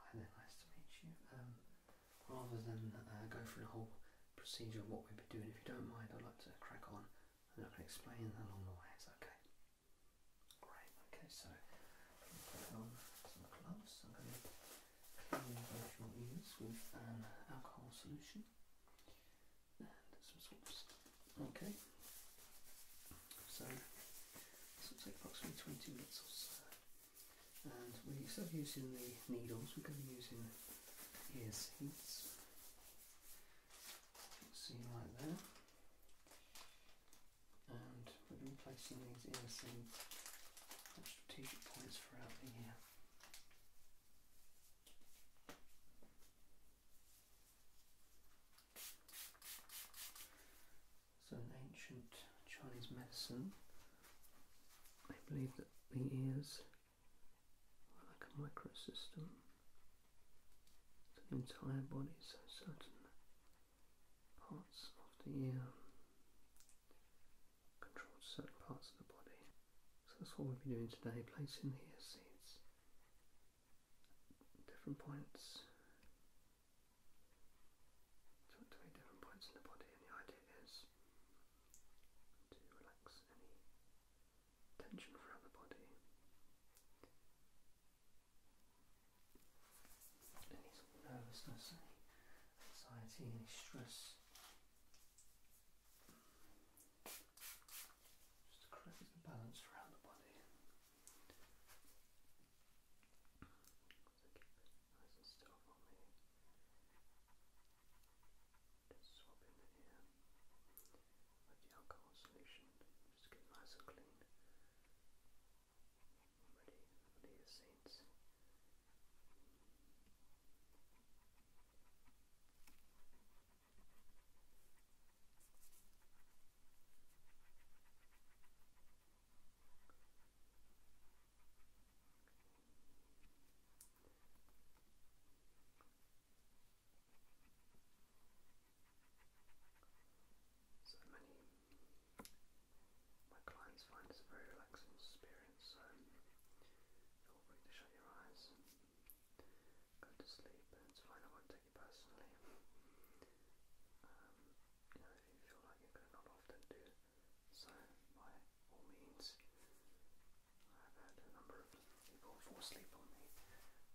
Hi there, nice to meet you. Um, rather than uh, go through the whole procedure of what we'd be doing, if you don't mind, I'd like to crack on and I can explain along the way. It's okay. Great, okay, so put on some gloves. I'm going to clean both your ears with an alcohol solution and some swabs. Okay, so this will take approximately 20 minutes or so. And we, instead of using the needles, we're going to be using ear seeds. See like that. And we're going to be placing these ear seeds at strategic points throughout the ear. So in ancient Chinese medicine, they believe that the ears are like a microsystem to the entire body, so certain parts of the ear controlled certain parts of the body. So that's what we'll be doing today, placing the ear seeds different points. So between different points in the body, and the idea is to relax any tension throughout the body, any nervousness, any anxiety, any stress just to create the balance around the body. So keep it nice and still for me. Just swap in here with the alcohol solution, just to get nice and clean. Ready for the so many my clients find this a very relaxing experience, so feel free to shut your eyes. And go to sleep, it's fine, I won't personally. Um, you know, if you feel like you're going to do so, by all means. I've had a number of people fall asleep on me.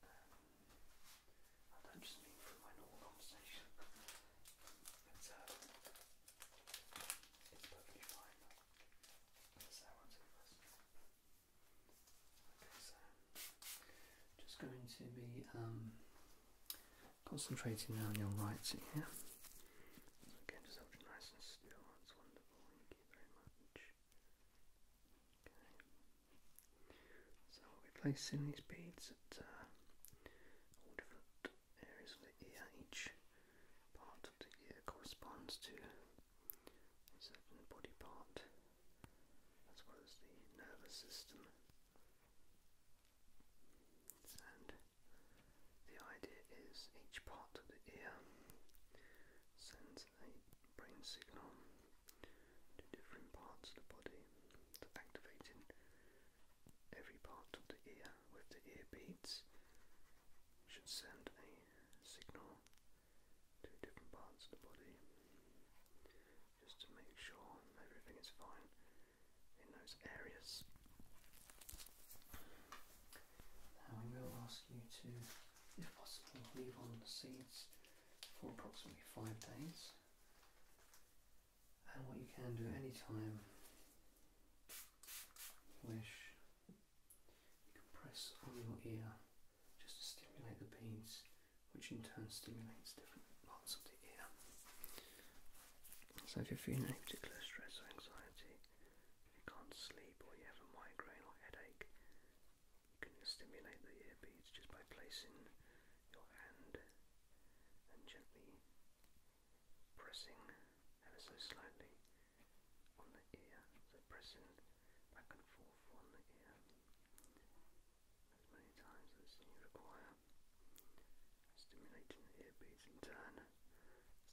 Um, I don't just mean from my normal conversation. Uh, it's, perfectly fine just going to be um, concentrating now on your right ear. So again, just nice and still. That's wonderful. Thank you very much. So we're placing these beads at uh, all different areas of the ear. part of the ear corresponds to certain body part, as well as the nervous system. And the idea is each part of the ear sends a brain signal to different parts of the body to activate every part of the ear with the ear beats should send a signal to different parts of the body just to make sure everything is fine in those areas. Now we will ask you to, if possible, leave on the seeds for approximately five days. And what you can do any time you wish you can press on your ear just to stimulate the beads, which in turn stimulates different parts of the ear. So if you're feeling any particular stress or anxiety, you can't sleep or you have a migraine or headache, you can stimulate the ear beads just by placing your hand and gently pressing ever so slightly on the ear, so pressing back and forth on the ear as many times as you require, stimulating the ear in turn,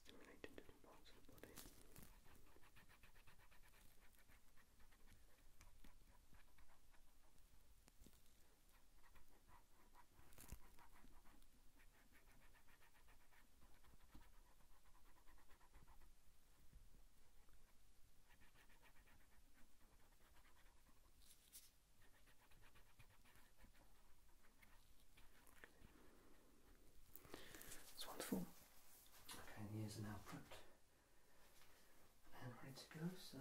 stimulating different parts of the body. It's wonderful. Okay, the ears are now prepped and ready to go. So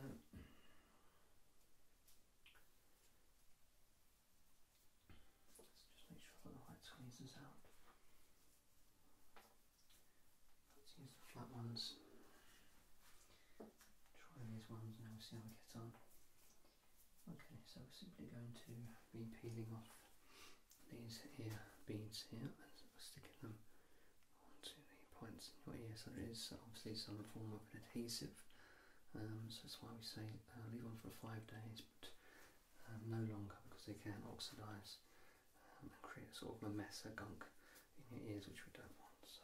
just make sure the light squeezes out. Let's use the flat ones. Try these ones and see how we get on. Okay, so we're simply going to be peeling off these ear beads here and sticking them onto the points in your ear. So there is obviously some form of an adhesive. Um, so that's why we say uh, leave on for five days, but um, no longer because they can oxidize um, and create sort of a mess, a gunk in your ears, which we don't want. So,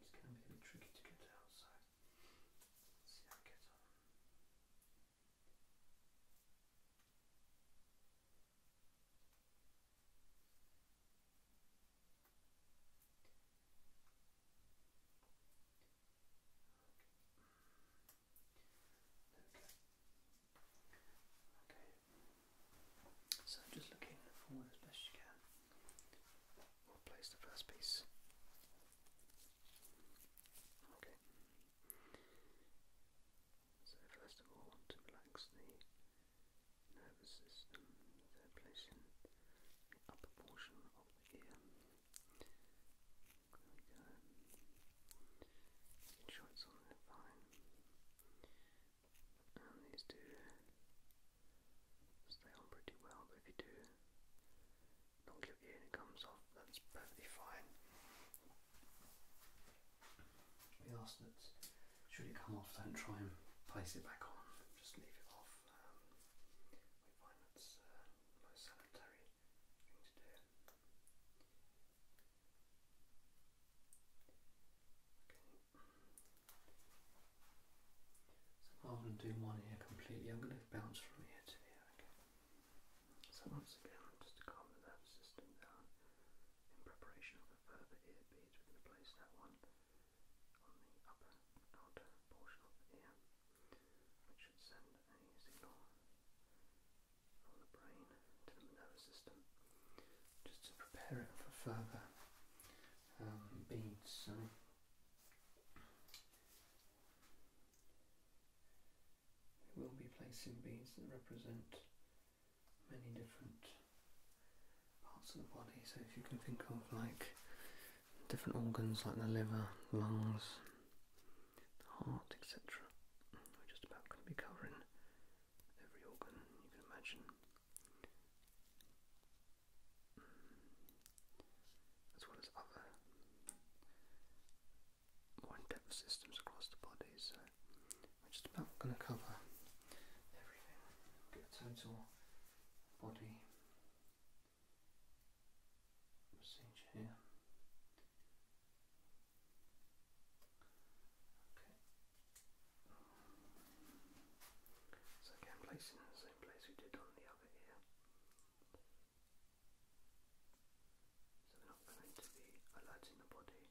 it's going to be a bit tricky to get out. So, see how we get on. So I'm just looking forward as best you can. We'll place the first piece. Okay. So first of all, to relax the nervous system. They're in the upper portion of the we go. Make on there fine. And these do stay on pretty well, but if you do knock your ear and it comes off, that's perfectly fine. We ask that should it come off, don't try and place it back on, just leave it off. Um, we find that's to do. one here completely, I'm going to bounce from here to here. So once again, just to calm the nervous system down, in preparation for further ear beads, we're going to place that one on the upper outer portion of the ear, which should send a signal from the brain to the nervous system just to prepare it for further um, we will be placing beads that represent many different parts of the body. So if you can think of like different organs like the liver, lungs, heart, etc. We're just about going to be covering every organ you can imagine. As well as other more systems across the body, so we're just about going to cover everything. Get a total body massage here. So again, placing in the same place we did on the other ear. So we're not going to be alerting the body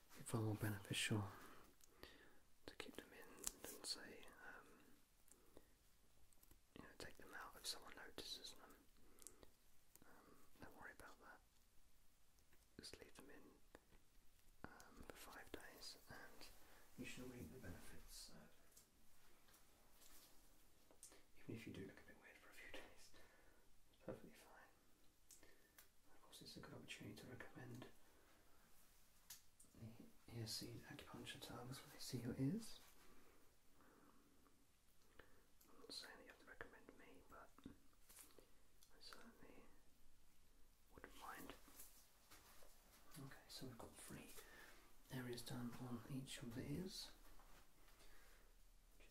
far more beneficial to keep them in than say, um, you know, take them out if someone notices them. Um, don't worry about that. Just leave them in um, for five days, and you should reap the benefits. even if you do look a bit weird for a few days, perfectly fine. Of course, it's a good opportunity to recommend the ear seed acupuncture targets when they see your ears. I'm not saying that you have to recommend me, but I certainly wouldn't mind. Okay, so we've got three areas done on each of the ears,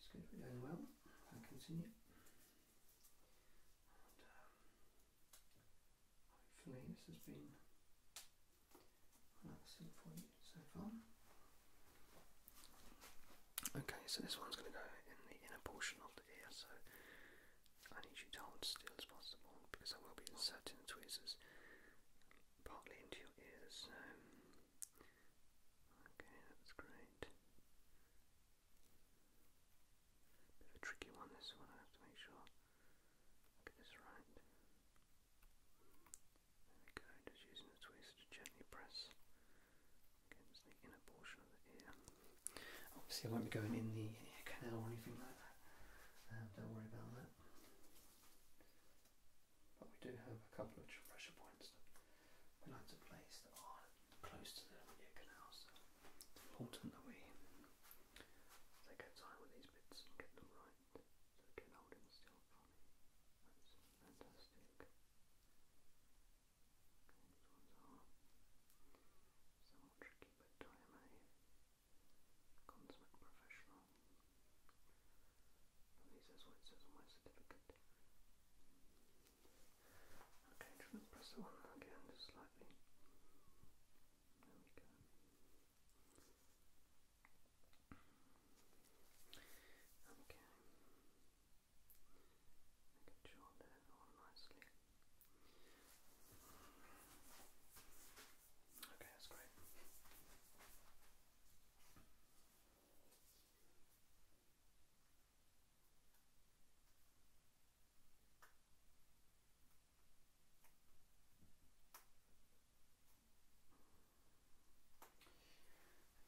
which is good, we're going well. I'll continue. Um, hopefully this has been relaxing for you so Okay, so this one's going to go in the inner portion of the ear, so I need you to hold still as possible because I will be inserting tweezers partly into your ears. okay, that's great a tricky one this one, I have to make sure I get this right. There just using a twist gently press against the portion of the ear. Obviously I won't be going in the ear canal or anything like that. Um, don't worry about that. But we do have a couple of pressure points we like to place that close to the canal, so it's important that we take our time with these bits and get them right. So again, holding still for me. That's fantastic. these ones are somewhat tricky, but I am a consummate professional. At least that's what it my certificate. Okay, just going to press it one again, just slightly. There we go. Okay. Make it short there, all nicely. Okay, that's great.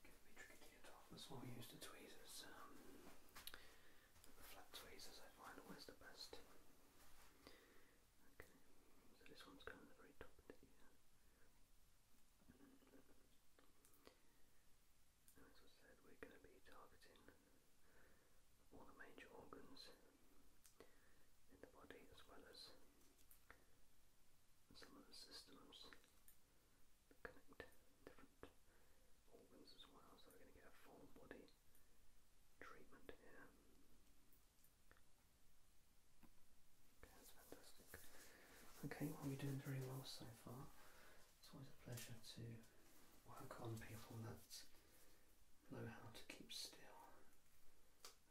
It tricky to get off. That's why we use the tweezers. Um, the flat tweezers I find always the best. Okay, so this one's going at the very top as I said, we're going to be targeting all the major organs in the body as well as some of the systems connect different organs as well. So we're going to get a full body treatment here that's Okay, well you're doing very well so far. It's always a pleasure to work on people that know how to keep still.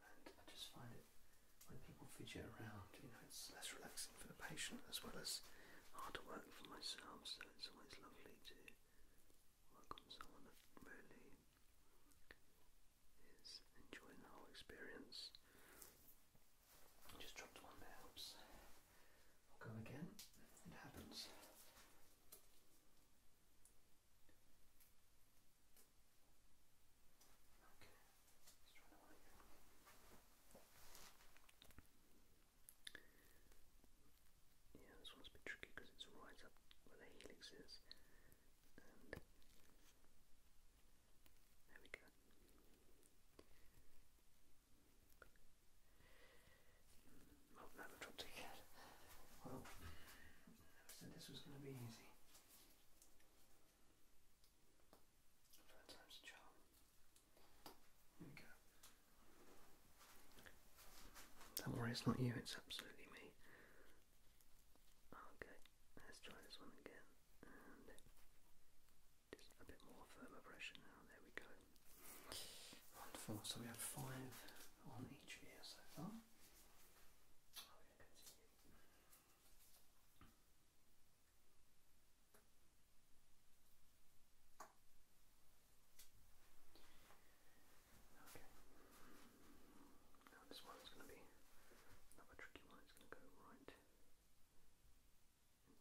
And I just find it when people fidget around, you know, it's less relaxing for the patient as well as harder work for myself, so it's always lovely to work on someone that really is enjoying the whole experience. Just dropped one there, oops. I'll go again, it happens. Okay, Yeah, this one's a bit tricky because it's right up where the helix is. And there we go. Oh, no, we dropped it again. Well, I said this was going to be easy. Third time's a charm. Here we go. Don't worry, it's not you, it's absolutely me. Okay, let's try this one again just a bit more firmer pressure now. There we go. Wonderful. So we have five on each ear so far. Oh, okay, Now this one's going to be another tricky one. It's going to go right inside the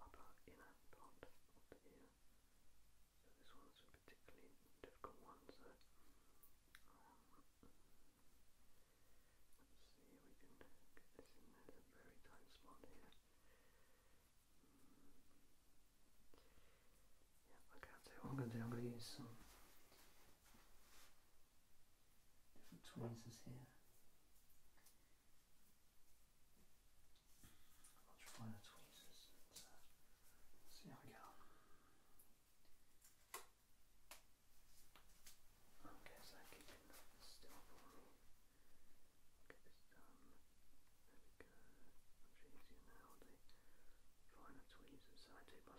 upper inner part of the ear. this one's a particularly difficult one, so um, let's see if we can get this in there. very tight spot here. Mm. Yeah, I'll tell you what I'm going to do. I'm going to use some Different tweezers here. I'll try the tweezers uh, see how we go. Okay, so keeping that still for me. Get this done. There we go. Much easier now. The finer tweezers. So I do my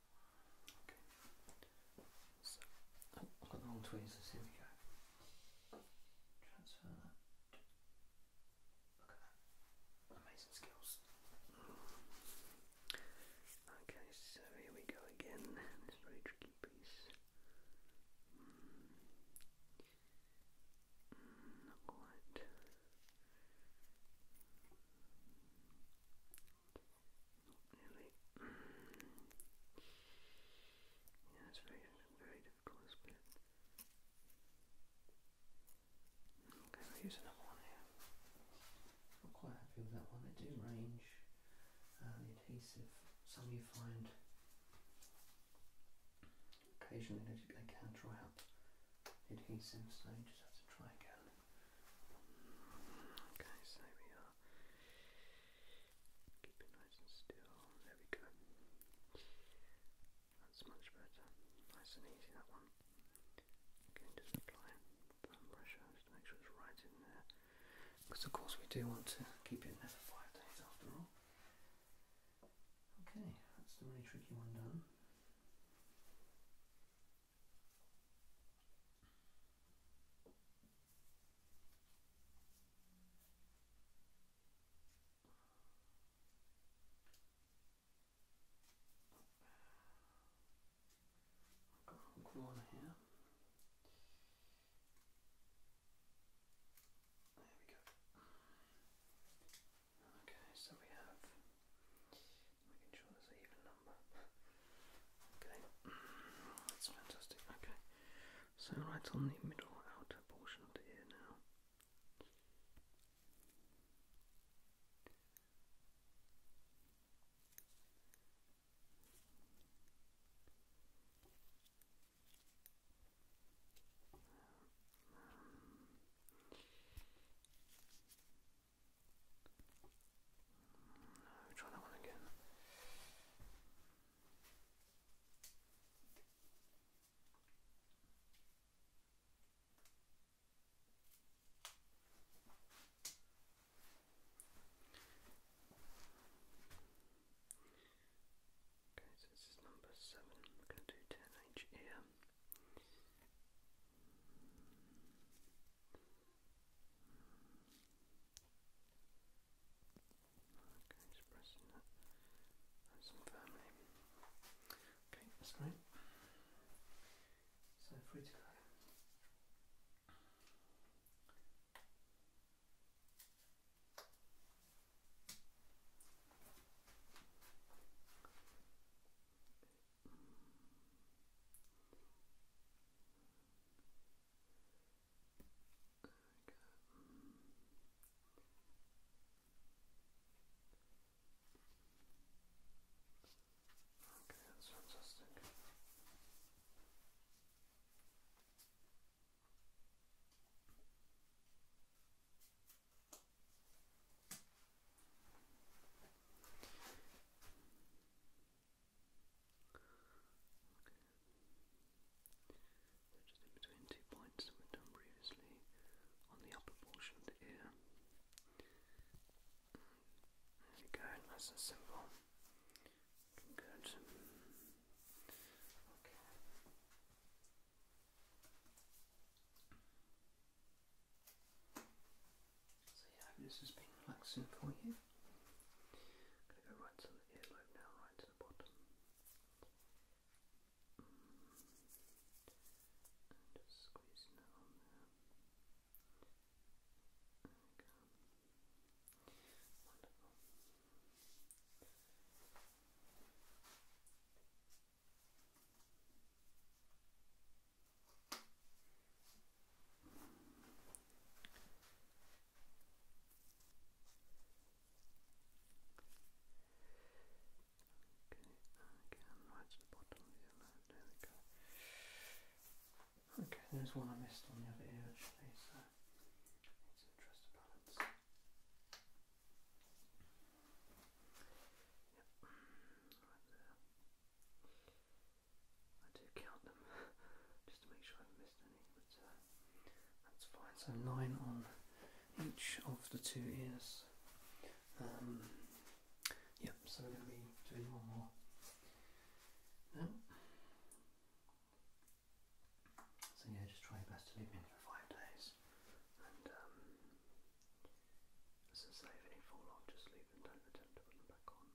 Okay. So, I've got the long tweezers. Here we go. Transfer that. Look at that. Amazing skills. Okay, so here we go again. very tricky piece. not quite really. Mm. yeah, it's very, very difficult Okay, we'll use another one here. i quite happy with that one. They do range um, the adhesive. Some you find occasionally they, they can dry up adhesive, so you just have to try again. Okay, so we are keep nice and still. There we go. That's much better. Nice and easy that one. just apply firm pressure to make sure it's right in there. Because of course we do want to keep it there for five days after all. Okay, that's the really tricky one done corner here. There we go. Okay, so we have making sure it's an even number. okay, mm, that's fantastic. Okay, so right on the middle outer portion of now. Let me try that one again. Okay, so this is number seven. We're going to do ten H here. Okay, just pressing Okay, that's great. So free to go. Okay, that's fantastic. Okay, so just in between two points that we've done previously on the upper portion of the ear. There we go, nice and simple. Good. Okay. So yeah, this has been relaxing for you. go right to the earlobe right to the bottom. Mm. just squeezing that There we go. Wonderful again, right to the bottom of there we go. Okay, there's one I missed on the other ear actually, so it's a trust balance. Yep. I do count them just to make sure I have missed any, uh, that's fine. So nine on each of the two ears. Um, yep, so we're going to be doing one more. Now. So yeah, just try your best to leave in for five days, um, as I say, if fall off, just leave them. Don't attempt to put them back on.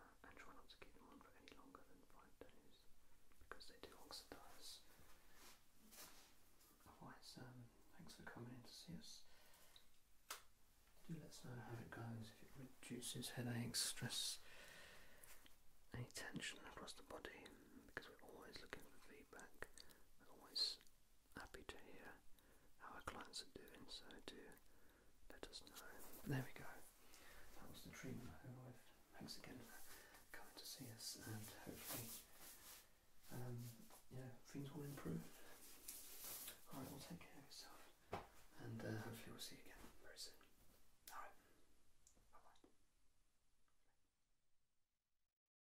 Uh, and try not to keep them on for any longer than five days because they do oxidise. Otherwise, um, thanks for coming in to see us. Do let us know how it goes, if it reduces headaches, stress, any tension across the body, because we're always looking for feedback. There's always happy to hear how our clients are doing, so do let us know. There we go. That was the treatment I arrived. Thanks again for coming to see us, and hopefully, um, yeah, things will improve. All right, well, take care of yourself, and uh, hopefully, we'll see you again very soon. All right, bye.